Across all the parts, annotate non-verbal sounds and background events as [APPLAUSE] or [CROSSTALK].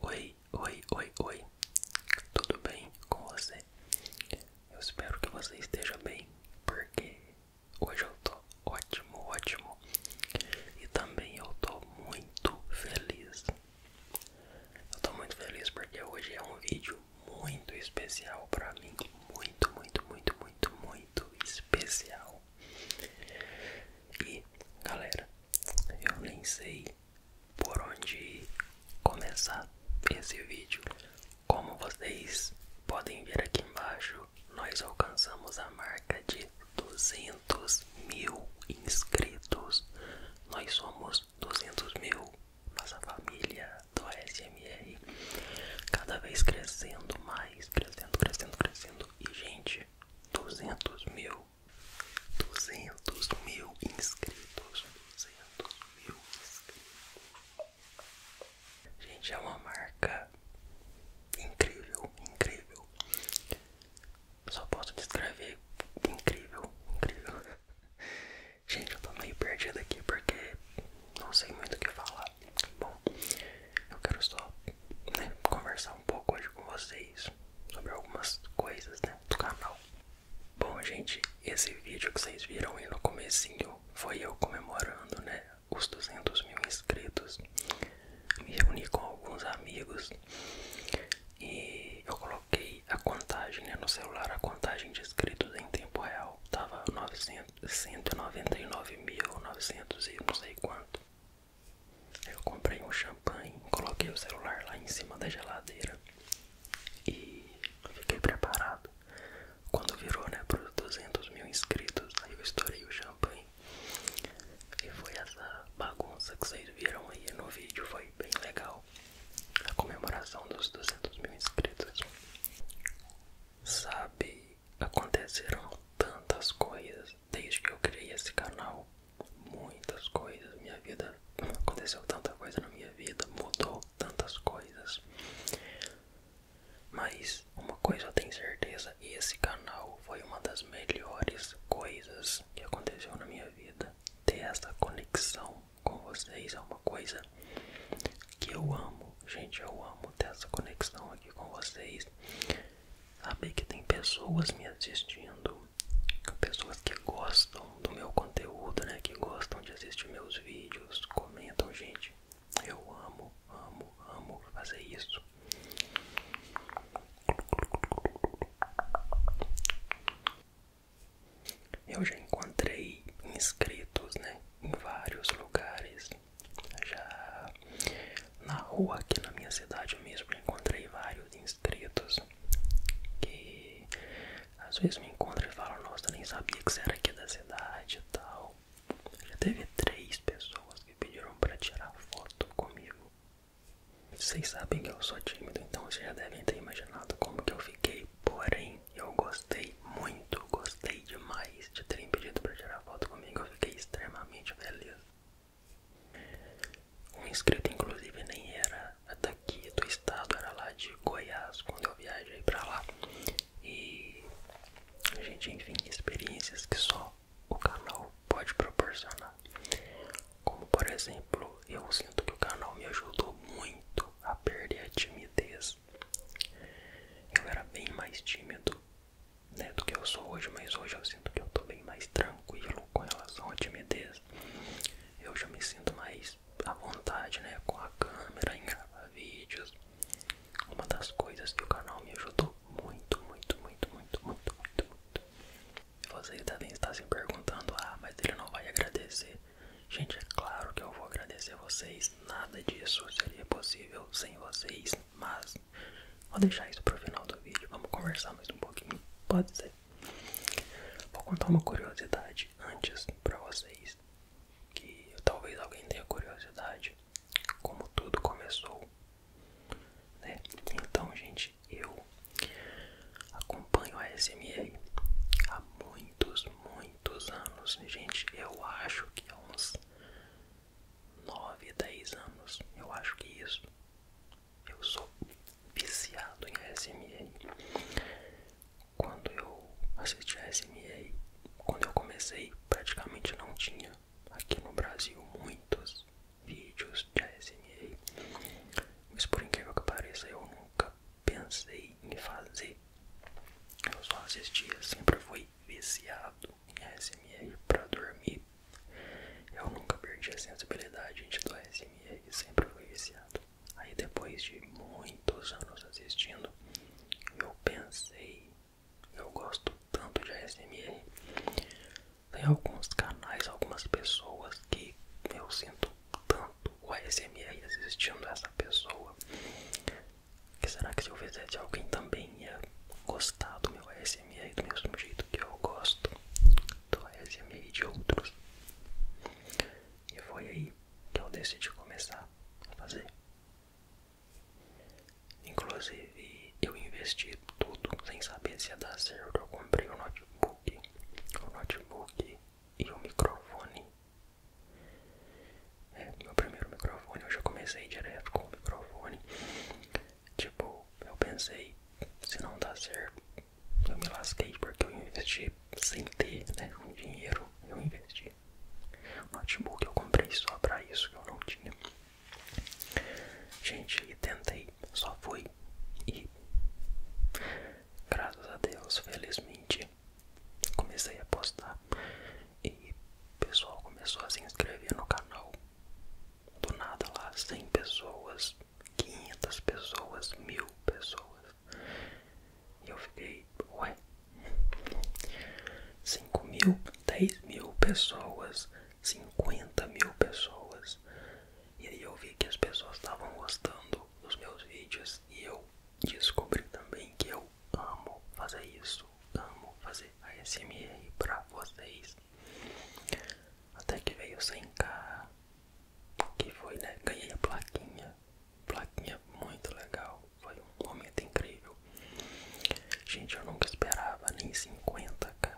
Oi, oi, oi, oi. Tudo bem com você? Eu espero que você esteja bem, porque hoje eu tô ótimo, ótimo. E também eu tô muito feliz eu tô muito feliz porque hoje é um vídeo muito especial para mim, muito, muito, muito, muito, muito especial. E, galera, eu nem sei por onde começar esse vídeo. Como vocês podem ver aqui embaixo, nós alcançamos a marca de 200 mil inscritos. Nós somos menos 200 mil, nossa família do SMR cada vez crescendo mais, crescendo, crescendo, crescendo. E gente, 200 mil, 200 mil inscritos, 200 mil inscritos. Gente, é uma marca incrível, incrível. Só posso descrever incrível, incrível. [LAUGHS] Gente, eu tô meio perdido aqui porque não sei muito o que falar. Bom, eu quero só né, conversar um pouco hoje com vocês sobre algumas coisas né, do canal. Bom, gente, esse vídeo que vocês viram aí no comecinho foi eu comemorando, né, os 200 mil inscritos. Me reuni com alguns amigos e eu coloquei a contagem né, no celular, a contagem de inscritos em tempo real tava 199.900 e não sei quanto. Eu comprei um champanhe, coloquei o celular lá em cima da geladeira e fiquei preparado. Quando virou né, para os 200 mil inscritos, aí eu estourei o champanhe e foi essa bagunça que vocês viram aí no vídeo, foi bem legal a comemoração dos 200 mil inscritos. Sabe, aconteceram tantas coisas desde que eu criei esse canal, muitas coisas, minha vida aconteceu tanta coisa na minha vida, mudou tantas coisas. Mas uma coisa eu tenho certeza, esse canal foi uma das melhores coisas que aconteceu na minha vida. Ter essa conexão com vocês é uma coisa que eu amo, gente. Eu amo ter essa conexão aqui com vocês. Saber que tem pessoas me assistindo, pessoas que gostam do meu conteúdo, né? Que gostam de assistir meus vídeos, comentam, gente. Eu amo, amo, amo fazer isso. Eu já encontrei inscritos, né, em vários lugares. Já na rua aqui na minha cidade mesmo encontrei vários inscritos que às vezes me encontram e falam, nossa, eu nem sabia que você era aqui da cidade e tal. Já teve três pessoas que pediram para tirar foto comigo. Vocês sabem que eu sou tímido, então vocês já devem ter imaginado como que eu fiquei. Porém, eu gostei muito, gostei demais de terem pedido para tirar foto comigo. Eu fiquei extremamente feliz. Um inscrito, inclusive, nem era daqui do estado, era lá de Goiás, quando eu viajei para lá. E, a gente, enfim, experiências que só o canal pode proporcionar. Como por exemplo, eu sinto que o canal me ajudou muito a perder a timidez. Eu era bem mais tímido né, do que eu sou hoje, mas hoje eu sinto que eu tô bem mais tranquilo com relação à timidez. Eu já me sinto mais à vontade né, com a câmera em gravar vídeos. Uma das coisas que o canal me ajudou muito, muito, muito, muito, muito, muito, muito. Vocês devem estar se perguntando, ah, mas ele não vai agradecer. Gente, é claro que eu vou agradecer vocês. Nada disso seria possível sem vocês, mas vou deixar isso pro final do vídeo. Vamos conversar mais um pouquinho. Pode ser. Vou contar uma curiosidade antes para vocês, que talvez alguém tenha curiosidade como tudo começou, né? Então, gente, eu acompanho a SMA há muitos, muitos anos, gente. Eu acho que há uns 9, 10 anos, eu acho que isso. Eu sou viciado em SMA. Quando eu assisti a SMA, quando eu comecei, praticamente não tinha aqui no Brasil muitos vídeos de ASMR, mas por incrível que pareça eu nunca pensei em fazer. Eu só assistia, sempre fui viciado em ASMR para dormir. Eu nunca perdi a sensibilidade gente, do ASMR, sempre fui viciado. Aí depois de muitos anos assistindo, eu pensei eu gosto tanto de ASMR. Tem alguns canais, algumas pessoas que eu sinto tanto o ASMR assistindo essa pessoa. Que será que se eu fizesse alguém também ia gostar do meu ASMR do mesmo jeito que eu gosto do ASMR de outros? E foi aí que eu decidi começar a fazer Inclusive, eu investi tudo sem saber se ia dar certo. Eu comprei o notebook, o notebook e o microfone. É, meu primeiro microfone, eu já comecei direto com o microfone. Tipo, eu pensei, se não dá certo, eu me lasquei porque eu investi sem ter né, dinheiro, eu investi. O notebook eu comprei só pra isso que eu não tinha. Gente, e tentei, só fui e graças a Deus, felizmente, comecei a postar e o pessoal começou a se inscrever no canal. Do nada lá, 100 pessoas, 500 pessoas, mil pessoas. E eu fiquei, ué, 5 mil, 10 mil pessoas, 50 mil pessoas. E aí eu vi que as pessoas estavam gostando dos meus vídeos e eu descobri também que eu amo fazer isso, amo fazer ASMR pra vocês. Até que veio sem 100 o que foi, né? Ganhei a plaquinha plaquinha, muito legal, foi um momento incrível. Gente, eu nunca esperava nem 50k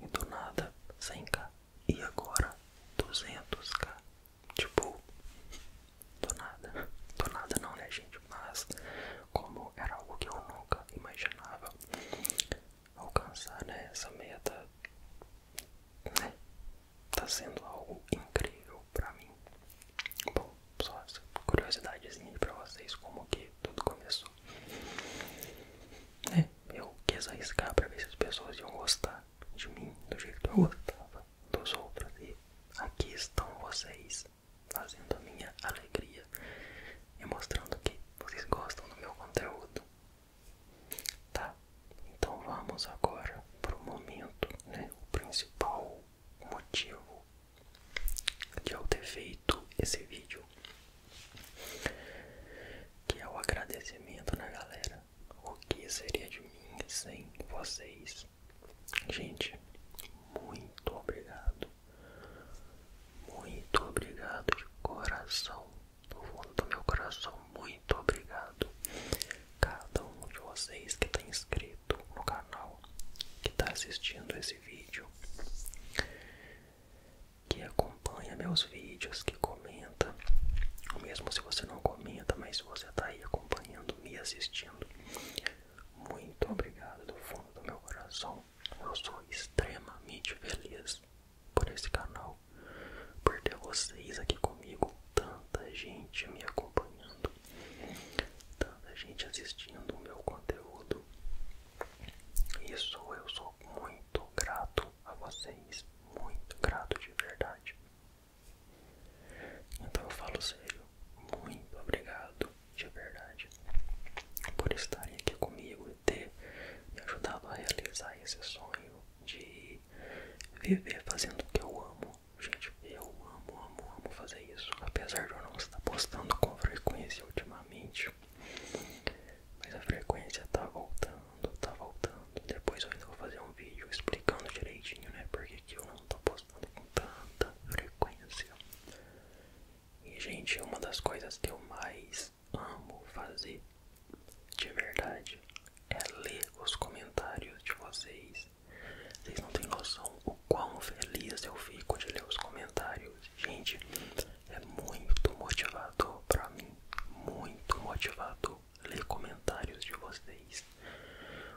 e do nada 100k e agora 200k, tipo, do nada, do nada não né gente, mas como era algo que eu nunca imaginava alcançar né, essa meta, né? tá sendo algo incrível pra mim. Bom, só essa curiosidadezinha pra vocês, como que tudo começou. É, eu quis arriscar pra ver se as pessoas iam gostar de mim do jeito que eu gostava dos outros. E aqui estão vocês, fazendo a minha alegria e mostrando que vocês gostam do meu conteúdo. Tá, então vamos agora para o momento, né? O principal motivo de eu ter feito esse vídeo, que é o agradecimento na né, galera. O que seria de mim sem vocês? Gente, muito obrigado. Muito obrigado de coração, do fundo do meu coração. Muito muito obrigado cada um de vocês que está inscrito no canal, que está assistindo esse vídeo, que acompanha meus vídeos, que comenta, mesmo se você não comenta, mas se você está aí acompanhando, me assistindo, muito obrigado do fundo do meu coração. Eu sou extremamente feliz por esse canal por ter vocês aqui comigo, tanta gente me acompanhando, tanta gente assistindo o meu conteúdo. Isso eu sou muito grato a vocês, muito grato de verdade. Então eu falo sério, muito obrigado de verdade por estarem aqui comigo e ter me ajudado a realizar esse sonho de viver fazendo o que eu amo. Gente, eu amo, amo, amo fazer isso. Apesar de eu não estar postando com frequência ultimamente. Mas a frequência tá voltando, tá voltando. Depois eu ainda vou fazer um vídeo explicando direitinho, né? Porque que eu não tô postando com tanta frequência. E, gente, uma das coisas que eu mais amo fazer de verdade é ler os comentários de vocês. Vocês não têm noção o quão feliz eu fico de ler os comentários. Gente, é muito motivador para mim, muito motivador ler comentários de vocês.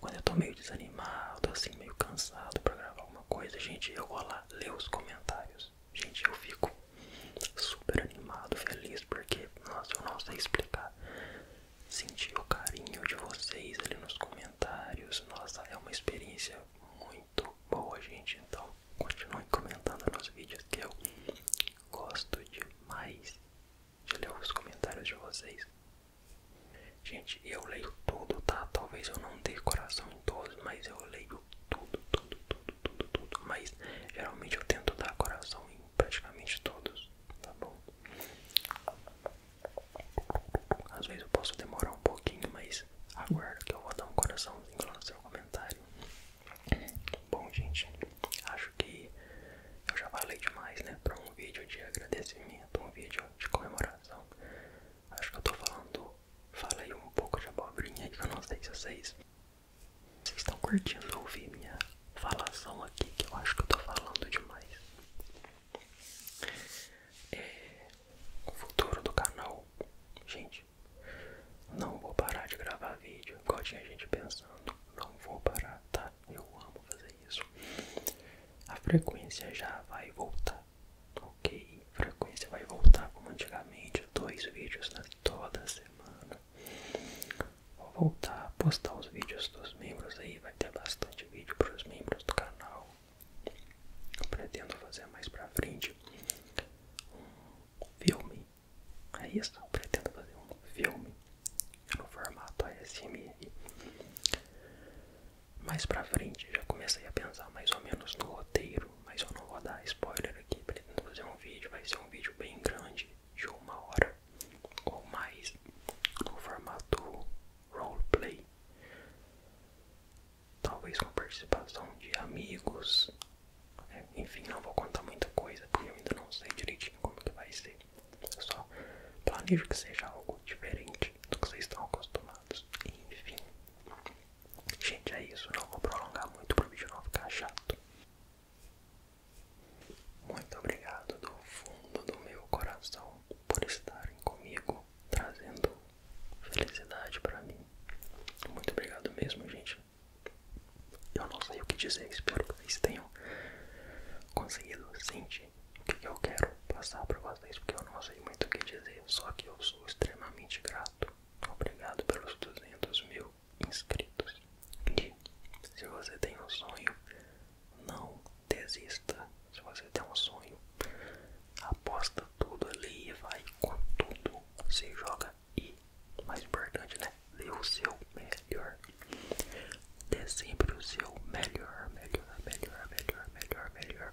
Quando eu tô meio desanimado, assim, meio cansado para gravar alguma coisa, gente, eu vou lá ler os comentários. Gente, eu fico super animado, feliz, porque, nossa, eu não sei explicar. Sentir o carinho de vocês ali nos comentários, nossa, é uma experiência muito boa, gente. Então, continuem comentando nos vídeos que eu gosto demais de ler os comentários de vocês. Gente, eu leio tudo, tá? Talvez eu não dê coração em todos, mas eu leio tudo, tudo, tudo tudo, tudo, tudo. Mas geralmente eu tento dar coração em praticamente todos, tá bom? Às vezes eu posso demorar um pouquinho, mas aguardo que eu vou dar um coraçãozinho lá no seu comentário. Bom, gente, acho que eu já falei demais, né? Pra um vídeo de agradecimento, um vídeo de comemoração. Acho que eu tô falando, falei um pouco de abobrinha que eu não sei se vocês vocês estão curtindo ouvir minha falação aqui, que eu acho que eu tô falando demais. É, o futuro do canal, gente, não vou parar de gravar vídeo, igual tinha gente pensando, não vou parar, tá? Eu amo fazer isso. A frequência já vai voltar, ok? frequência vai voltar como antigamente, dois vídeos na né? toda semana. Vou voltar a postar os vídeos dos membros aí, vai ter bastante vídeo para os membros do canal. Eu pretendo fazer mais pra frente um filme. É isso, eu pretendo fazer um filme no formato ASMR. Mais pra frente já comecei a pensar mais ou menos no roteiro mas eu não vou dar spoiler aqui, pretendo fazer um vídeo, vai ser um vídeo bem grande, de uma hora ou mais, no formato roleplay. Talvez com participação de amigos, né? enfim, não vou contar muita coisa, porque eu ainda não sei direitinho como que vai ser. Eu só planejo que seja algo diferente do que vocês estão acostumados, enfim. Gente, é isso. Não vou prolongar muito para o vídeo não ficar chato. Muito obrigado do fundo do meu coração por estarem comigo, trazendo felicidade para mim. Muito obrigado mesmo, gente. Eu não sei o que dizer, espero que vocês tenham conseguido sentir o que eu quero passar para vocês, porque eu não sei muito o que dizer, só que eu sou extremamente grato obrigado, pelos 200 mil inscritos. E se você tem um sonho, não desista. Se você tem um sonho, aposta tudo ali e vai com tudo. Se joga e, mais importante, né? Dê o seu melhor. Dê sempre o seu melhor, melhor, melhor, melhor, melhor, melhor.